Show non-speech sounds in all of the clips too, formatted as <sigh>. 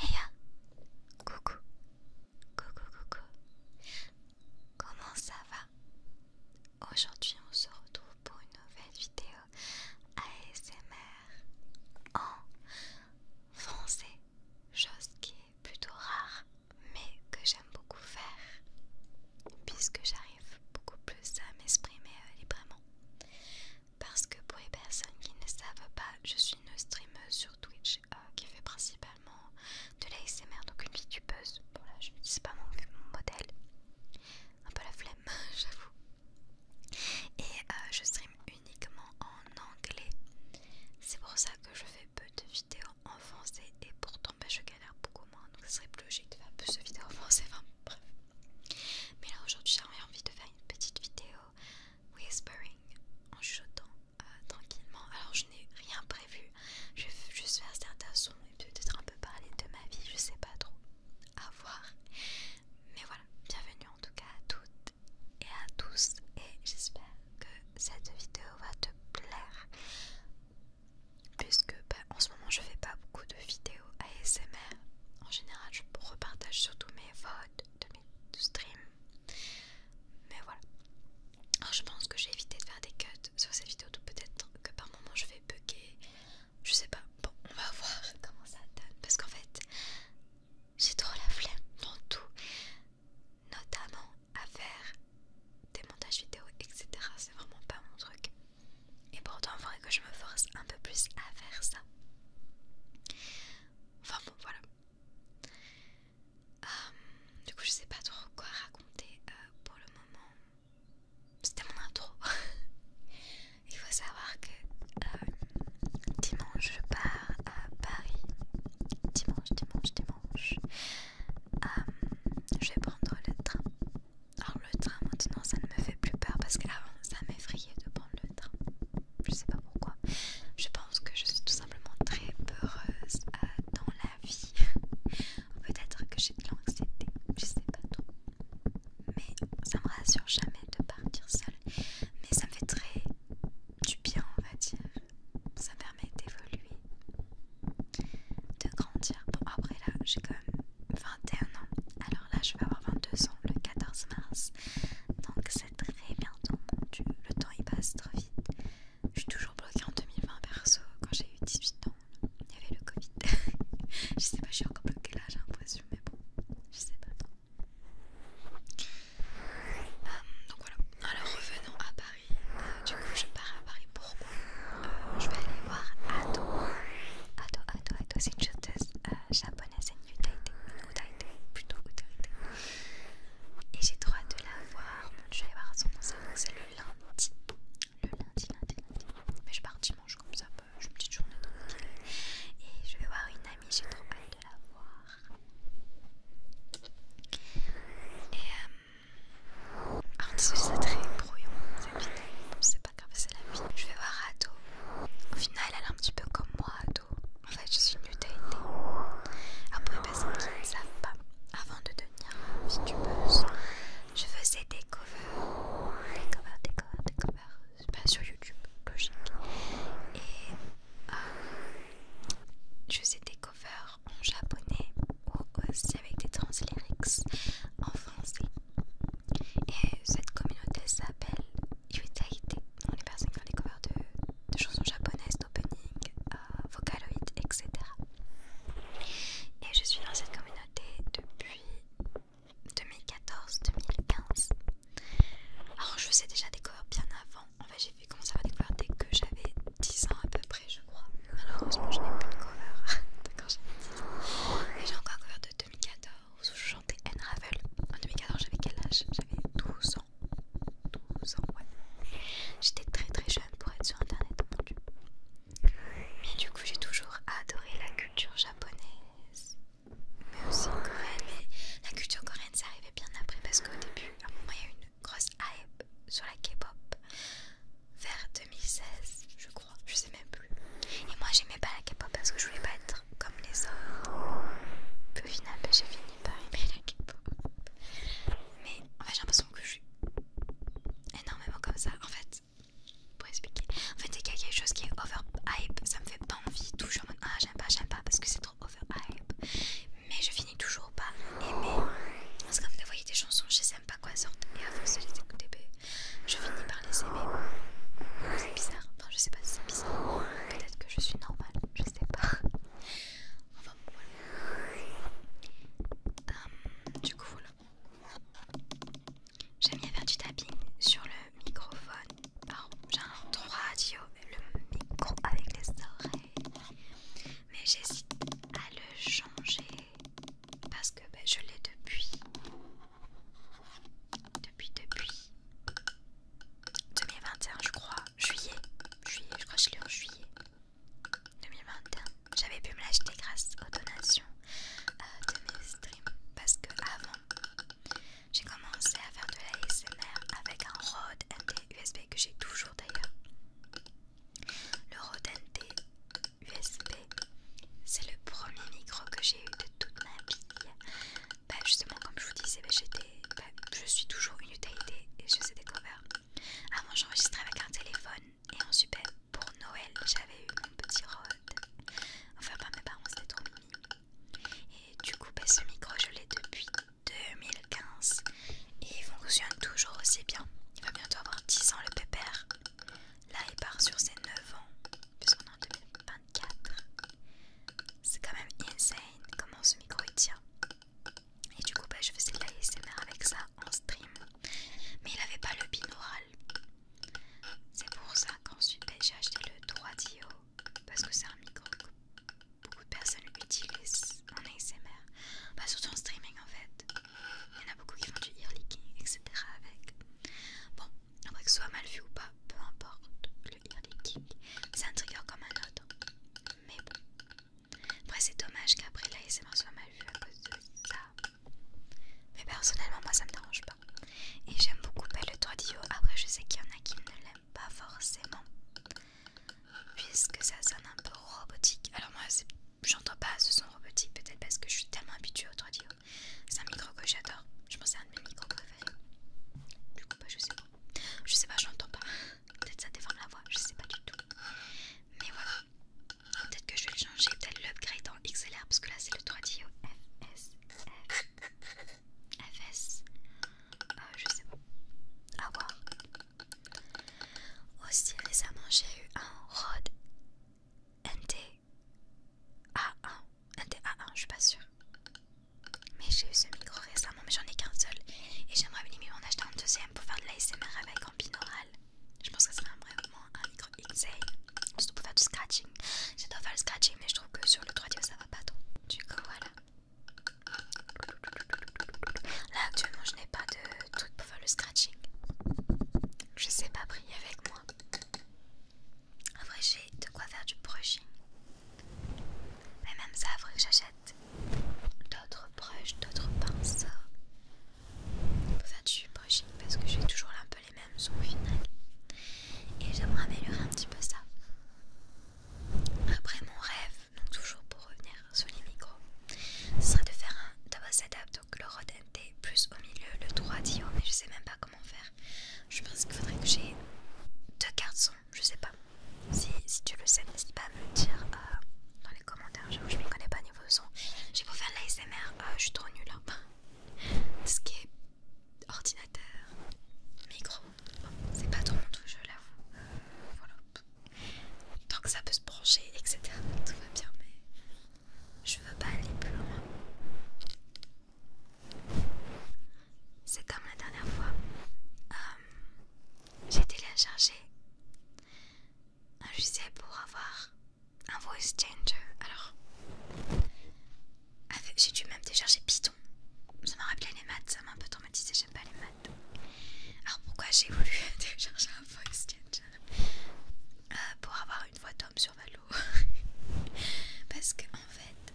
Heya coucou, coucou, coucou. Comment ça va Aujourd'hui, on se retrouve pour une nouvelle vidéo ASMR en français, chose qui est plutôt rare, mais que j'aime beaucoup faire puisque j'arrive beaucoup plus à m'exprimer euh, librement. Parce que pour les personnes qui ne savent pas, je suis une streameuse sur Twitch euh, qui fait principalement de l'ASMR, donc une VTubeuse. Bon là, je n'utilise pas mon, modèle. Un peu la flemme, <laughs> j'avoue. Et euh, je stream uniquement en anglais. C'est pour ça que je fais peu de vidéos en français et pourtant bah, je galère beaucoup moins. Donc ce serait plus logique de faire plus de vidéos en français. Enfin bref. Mais là aujourd'hui j'avais envie de faire une petite vidéo whispering en chuchotant euh, tranquillement. Alors je n'ai rien prévu, je vais juste faire certains sons et peut-être un peu parler de ma vie, je sais pas trop, à voir. Mais voilà, bienvenue en tout cas à toutes et à tous et j'espère que cette vidéo va te plaire puisque bah, en ce moment je fais pas beaucoup de vidéos ASMR en général je repartage surtout mes votes de de stream. Mais voilà. Alors, je pense que j'ai évité de faire des cuts sur cette vidéo, donc peut-être que par moment je vais bugger. Je sais pas. Bon, on va <laughs> voir comment ça donne. Parce qu'en fait, j'ai trop la flemme dans tout, notamment à faire des montages vidéo, etc. C'est vraiment pas mon truc. Et pourtant, il faudrait que je me force un peu plus à faire ça. Enfin bon, voilà. Euh, du coup, je sais pas trop quoi raconter euh, pour le moment. C'était mon intro. <laughs> Il faut savoir que euh, dimanche, je pars à Paris. Dimanche, dimanche, dimanche. je vais prendre le train. Alors, le train maintenant, ça ne me fait plus peur parce qu'avant, ça m'effrayait de prendre le je sais pas pourquoi. Je pense que je suis tout simplement très peureuse euh, dans la vie. <laughs> Peut-être que j'ai de l'anxiété, je sais pas trop. Mais ça me rassure jamais de partir seule. Mais ça me fait très du bien, on va dire. Ça permet d'évoluer, de grandir. Bon, après là, j'ai quand même 21 ans. Alors là, je vais avoir 22 ans le 14 mars. Donc très bientôt, temps, le temps il passe trop vite. Je suis toujours bloquée en 2020 perso, quand j'ai eu 18 ans, il y avait le Covid. <laughs> je sais pas, je suis encore bloquée là, j'ai l'impression, mais bon, je sais pas trop. Euh, donc voilà, alors revenons à Paris. Euh, du coup, je pars à Paris, pour moi, euh, Je vais aller voir Ado. Ado, Ado, Ado, c'est une chanteuse japonaise plutôt Et j'ai droit de la voir. je vais voir son concert, c'est le lundi. Le lundi, lundi, lundi. Mais je pars dimanche comme ça, bah, une petite journée Et je vais voir une amie, j'ai trop hâte de la voir. Et euh, alors c'est très brouillon cette vidéo, c'est pas grave, c'est la vie. Je vais voir Ato, Au final, elle est un petit peu comme moi, en fait, je suis une Après, parce qui ne savent pas, avant de devenir vitupeuse je faisais des covers, des covers, des covers, des covers, pas sur YouTube, logique. Et euh, je faisais des covers en japonais ou aussi avec des translyrics en français. Et cette communauté s'appelle Irritalité, On les personnes qui font des covers de, chansons japonaises, d'opening, euh, vocaloid, etc. Et je suis dans cette communauté depuis 2014-2015. Alors je faisais déjà des covers bien avant. En fait j'ai fait commencer à faire des covers dès que j'avais 10 ans à peu près je crois. Malheureusement je n'ai plus de cover <laughs> D'accord, quand j'avais 10 ans. Et j'ai encore un cover de 2014 où je chantais N Ravel. En 2014 j'avais quel âge J'avais 12 12 J'étais très très jeune pour être sur internet, Mais du coup, j'ai toujours adoré la culture japonaise, mais aussi coréenne. Mais la culture coréenne, ça arrivait bien après parce qu'au début, à un moment, il y a eu une grosse hype sur la K-pop vers 2016, je crois, je sais même plus. Et moi, j'aimais pas la K-pop parce que je voulais pas être comme les autres. Peu finalement, bah, j'ai fini par aimer la k Mais en fait, j'ai l'impression que je suis énormément comme ça. En fait, pour expliquer, en fait, il y a quelque chose qui est over hype, ça me fait pas envie. Toujours en Ah, j'aime pas, j'aime pas parce que c'est trop over hype Mais je finis toujours par aimer. Parce que comme vous voyez des chansons, je sais même pas quoi sortent. Et à force de les écouter, ben, je finis par les aimer. C'est bizarre, enfin je sais pas si c'est bizarre, peut-être que je suis normale, je sais pas. Euh, du coup, voilà. J'aime bien faire du tapping sur le microphone. Pardon, j'ai un radio radio, le micro avec les oreilles. Mais j'hésite à le changer parce que ben, je l'ai depuis. Depuis, depuis. 2021 je crois, juillet, juillet, je crois que je l'ai en juillet 2021. J'avais pu me l'acheter grâce aux donations euh, de mes streams parce que avant j'ai commencé à faire de la avec un Rode NT USB que j'ai toujours d'ailleurs. Le Rode NT USB, c'est le premier micro que j'ai eu de toute ma vie bah justement comme je vous disais bah, j'étais bah, je suis toujours une utilité et je sais découvert avant j'enregistrais avec un téléphone et en super pour Noël j'avais eu mon petit Rode enfin pas mes parents c'était trop et du coup bah, ce micro je l'ai depuis 2015 et il fonctionne toujours aussi bien il va bientôt avoir 10 ans le pépère là il part sur ses 9 ans puisqu'on est en 4. C'est quand même insane comment ce micro il tient. Et du coup, bah, je faisais de l'ASMR avec ça en stream. Mais il n'avait pas le binaural. C'est pour ça qu'ensuite bah, j'ai acheté le 3DO. Parce que c'est un micro que beaucoup de personnes utilisent en ASMR. Pas bah, surtout en streaming en fait. Il y en a beaucoup qui font du ear etc. avec. Bon, après que ce soit mal vu ou pas, peu importe. Le ear c'est un trigger comme un autre. Mais bon. Après, c'est dommage qu'après l'ASMR soit mal vu à cause de ça. Mais personnellement, moi ça me dérange pas. Et j'aime beaucoup le 3DO. Après, je sais qu'il y en a qui ne l'aiment pas forcément. Puisque ça sonne un peu robotique. Alors, moi, j'entends pas ce son robotique. Peut-être parce que je suis tellement habituée au 3DO. C'est un micro que j'adore. Je pense que c'est un de mes micros préférés. Du coup, bah, je sais pas. Je sais pas, je j'entends pas. Peut-être ça déforme la voix, je sais pas du tout. Mais voilà. Peut-être que je vais le changer, peut-être l'upgrade en XLR parce que là c'est le 3DO FS. FS. je sais pas. ah voir. Aussi récemment j'ai eu un Rode NT A1. NT A1, je suis pas sûre. Mais j'ai eu ce micro récemment, mais j'en ai qu'un seul. Et j'aimerais bien m'en acheter un deuxième pour faire de l'ASMR avec en binaural. Je pense que ce serait vraiment un micro XA. Surtout pour faire du scratching. J'adore faire le scratching, mais je trouve que sur le 3D ça va pas trop. Du coup, voilà. Là, actuellement, je n'ai pas de truc pour faire le scratching. Je sais pas prier avec moi. Après, j'ai de quoi faire du brushing. Mais même ça, il faudrait que j'achète d'autres brushes, d'autres pinceaux pour faire du brushing parce que j'ai toujours un peu les mêmes sons Et j'aimerais améliorer un petit peu ça. Après mon rêve, donc toujours pour revenir sur les micros, ce serait de faire un double setup, donc le rodenté plus au milieu le 3 dio, mais je sais même pas comment faire. Je pense qu'il faudrait que j'ai deux cartes son je sais pas. Si, tu le sais, n'hésite pas à me le dire euh, dans les commentaires. je m'y connais pas niveau son. J'ai beau faire de l'ASMR, euh, je suis trop nulle. Hein. <laughs> Ce qui est ordinateur, micro, c'est pas trop mon tout je l'avoue. voilà. Tant que ça peut se brancher, etc., tout va bien, mais je veux pas aller plus loin. C'est comme la dernière fois. Euh, j'ai téléchargé un logiciel pour avoir un voice changer. Alors, j'ai dû même télécharger Python. Ça m'a rappelé les maths, ça m'a un peu traumatisé, j'aime pas les maths. Alors, pourquoi j'ai voulu <laughs> télécharger un voice changer euh, Pour avoir une voix d'homme sur Valo. <laughs> Parce que en fait,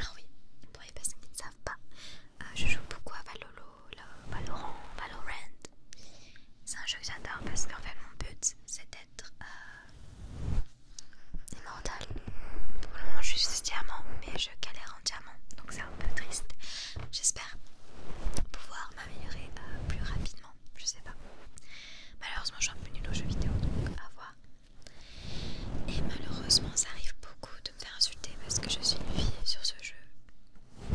ah oui, vous pourriez pas ça. Euh, je joue beaucoup à Valolo, Valorant, Valorant. C'est un jeu que j'adore parce qu'en fait mon but c'est d'être euh, immortal. Pour le moment je suis diamant mais je galère en diamant donc c'est un peu triste. J'espère pouvoir m'améliorer euh, plus rapidement, je sais pas. Malheureusement je suis un peu nul aux jeux vidéo donc à voir. Et malheureusement, ça arrive beaucoup de me faire insulter parce que je suis une fille sur ce jeu.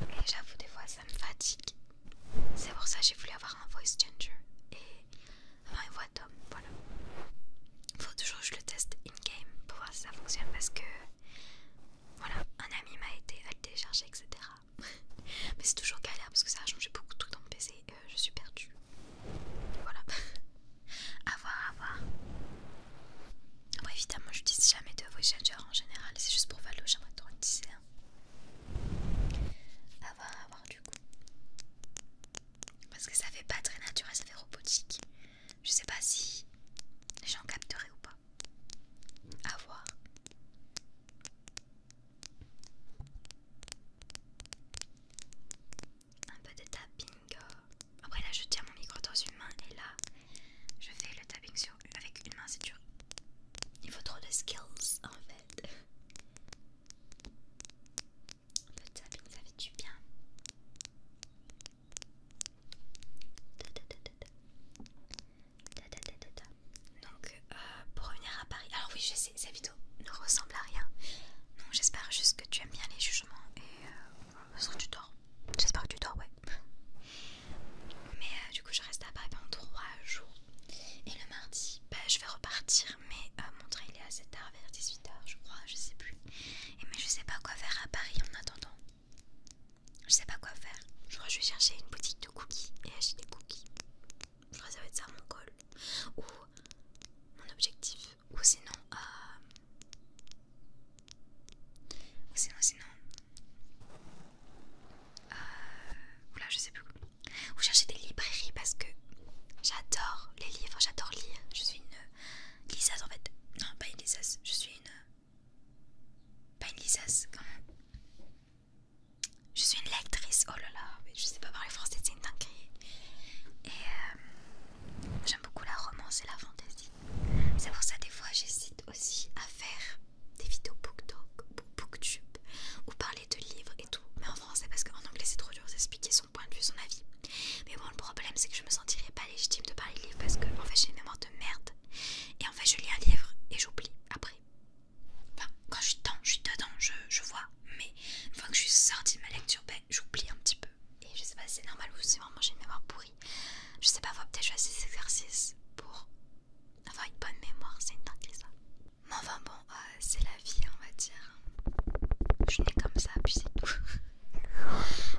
Et j'avoue, des fois, ça me fatigue. C'est pour ça que j'ai voulu avoir un voice changer et avoir une voix d'homme. Voilà. Faut toujours que je le teste in-game pour voir si ça fonctionne parce que. Voilà, un ami m'a aidé à le télécharger, etc. <laughs> Mais c'est toujours galère parce que ça a changé beaucoup de trucs dans mon PC et euh, je suis perdue. Voilà. <laughs> à voir, à voir. Après, évidemment, je n'utilise jamais de voice changer en général, c'est juste pour Valo, j'aimerais trop utiliser un. voir, à voir du coup. Parce que ça fait pas très naturel, ça fait robotique. Je sais pas si les gens capteraient ou pas. A voir un peu de tapping. Euh. Après là je tiens mon micro dans une main et là je fais le tapping sur avec une main c'est dur. Il faut trop de skills en fait. Un tapping ça fait du bien. Donc euh, pour revenir à Paris, alors oui je sais, cette vidéo ne ressemble à rien. j'espère juste que tu aimes bien les jugements et euh, parce que tu dors. J'espère que tu dors, ouais. Mais euh, du coup, je reste à Paris pendant 3 jours. Et le mardi, bah, je vais repartir. Mais euh, mon train il est à 7h, vers 18h, je crois, je sais plus. mais je sais pas quoi faire à Paris en attendant. Je sais pas quoi faire. Je crois que je vais chercher une boutique de cookies et acheter des cookies. Je crois que ça va être ça mon goal Ou mon objectif ou sinon euh, ou sinon sinon euh, je sais plus ou chercher des librairies parce que j'adore les livres j'adore lire je suis une liseuse en fait non pas une liseuse je suis une pas une lisace comment, je suis une lectrice oh là là je sais pas parler français c'est une dinguerie et euh, j'aime beaucoup la romance et la fantaisie c'est pour ça des fois j'hésite aussi à faire des vidéos talk, booktube ou parler de livres et tout. Mais en français parce qu'en anglais c'est trop dur d'expliquer son point de vue, son avis. Mais bon le problème c'est que je me sentirais pas légitime de parler de livres parce que fait j'ai une mémoire de merde. Et en fait je lis un livre et j'oublie après. Enfin quand je suis dedans, je vois. Mais une fois que je suis sortie de ma lecture, ben, j'oublie un petit peu. Et je sais pas si c'est normal ou si vraiment j'ai une mémoire pourrie. Je sais pas, faut peut-être choisir je des exercices pour avoir une bonne mémoire, c'est une dinguerie ça. Mais enfin bon, euh, c'est la vie, on va dire. Je suis née comme ça, puis c'est tout. <laughs>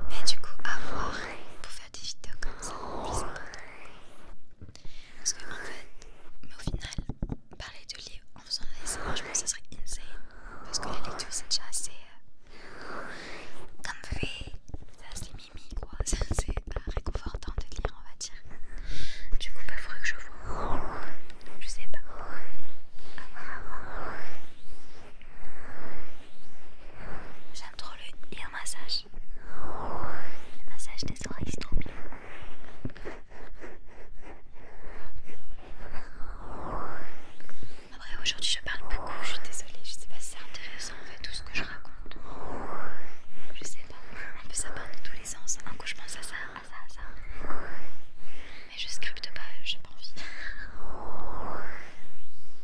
Mais du coup, à voir pour faire des vidéos comme ça, je sais pas. Parce que en fait, mais au final, parler de livres en faisant de exercices je pense que ça serait insane. Parce que la lecture, c'est déjà assez. Euh, fait, ça c'est mimi quoi, ça c'est réconfortant de lire on va dire. Du coup, pas bah, que je vois. Je sais pas. J'aime trop le un massage. Le massage des oreilles, c'est trop bien. Après aujourd'hui je parle beaucoup, je suis désolée, je sais pas si c'est intéressant en fait tout ce que je raconte. Je sais pas, on peut ça part de tous les sens, un coup je pense à ça, à ça, à ça. Mais je scripte pas, j'ai pas envie.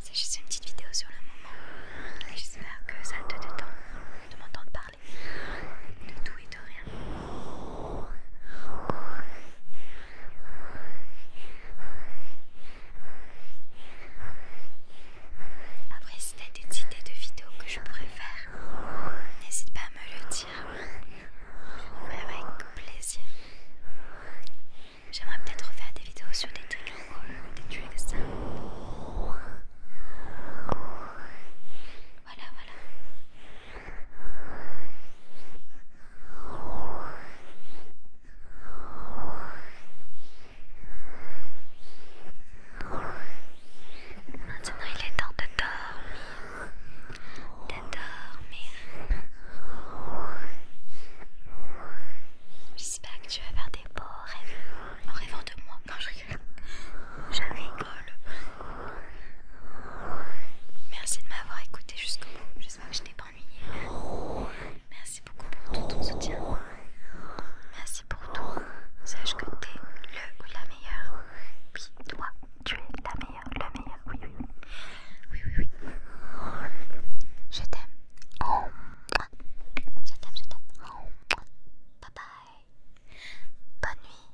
C'est juste une petite vidéo sur le moment. Et j'espère que ça te détend de m'entendre parler de tout et de rien. Après, si t'as des idées de vidéos que je pourrais faire, n'hésite pas à me le dire. avec plaisir. J'aimerais peut-être faire des vidéos sur des trucs ou des trucs simples. Voilà, voilà. Maintenant, il est temps de dormir. De dormir. J'espère que tu vas faire des beaux rêves en rêvant de moi. Non, je rigole. Je rigole. Merci de m'avoir écouté jusqu'au bout. J'espère que je t'ai pas ennuyé. Merci merci beaucoup pour tout ton soutien. Merci pour tout. Sache que t'es le ou la meilleure. Puis toi, tu es la meilleure, le meilleur. Oui, oui, oui. Oui, oui, oui. Je t'aime. Je t'aime, je t'aime. Bye bye. Bonne nuit.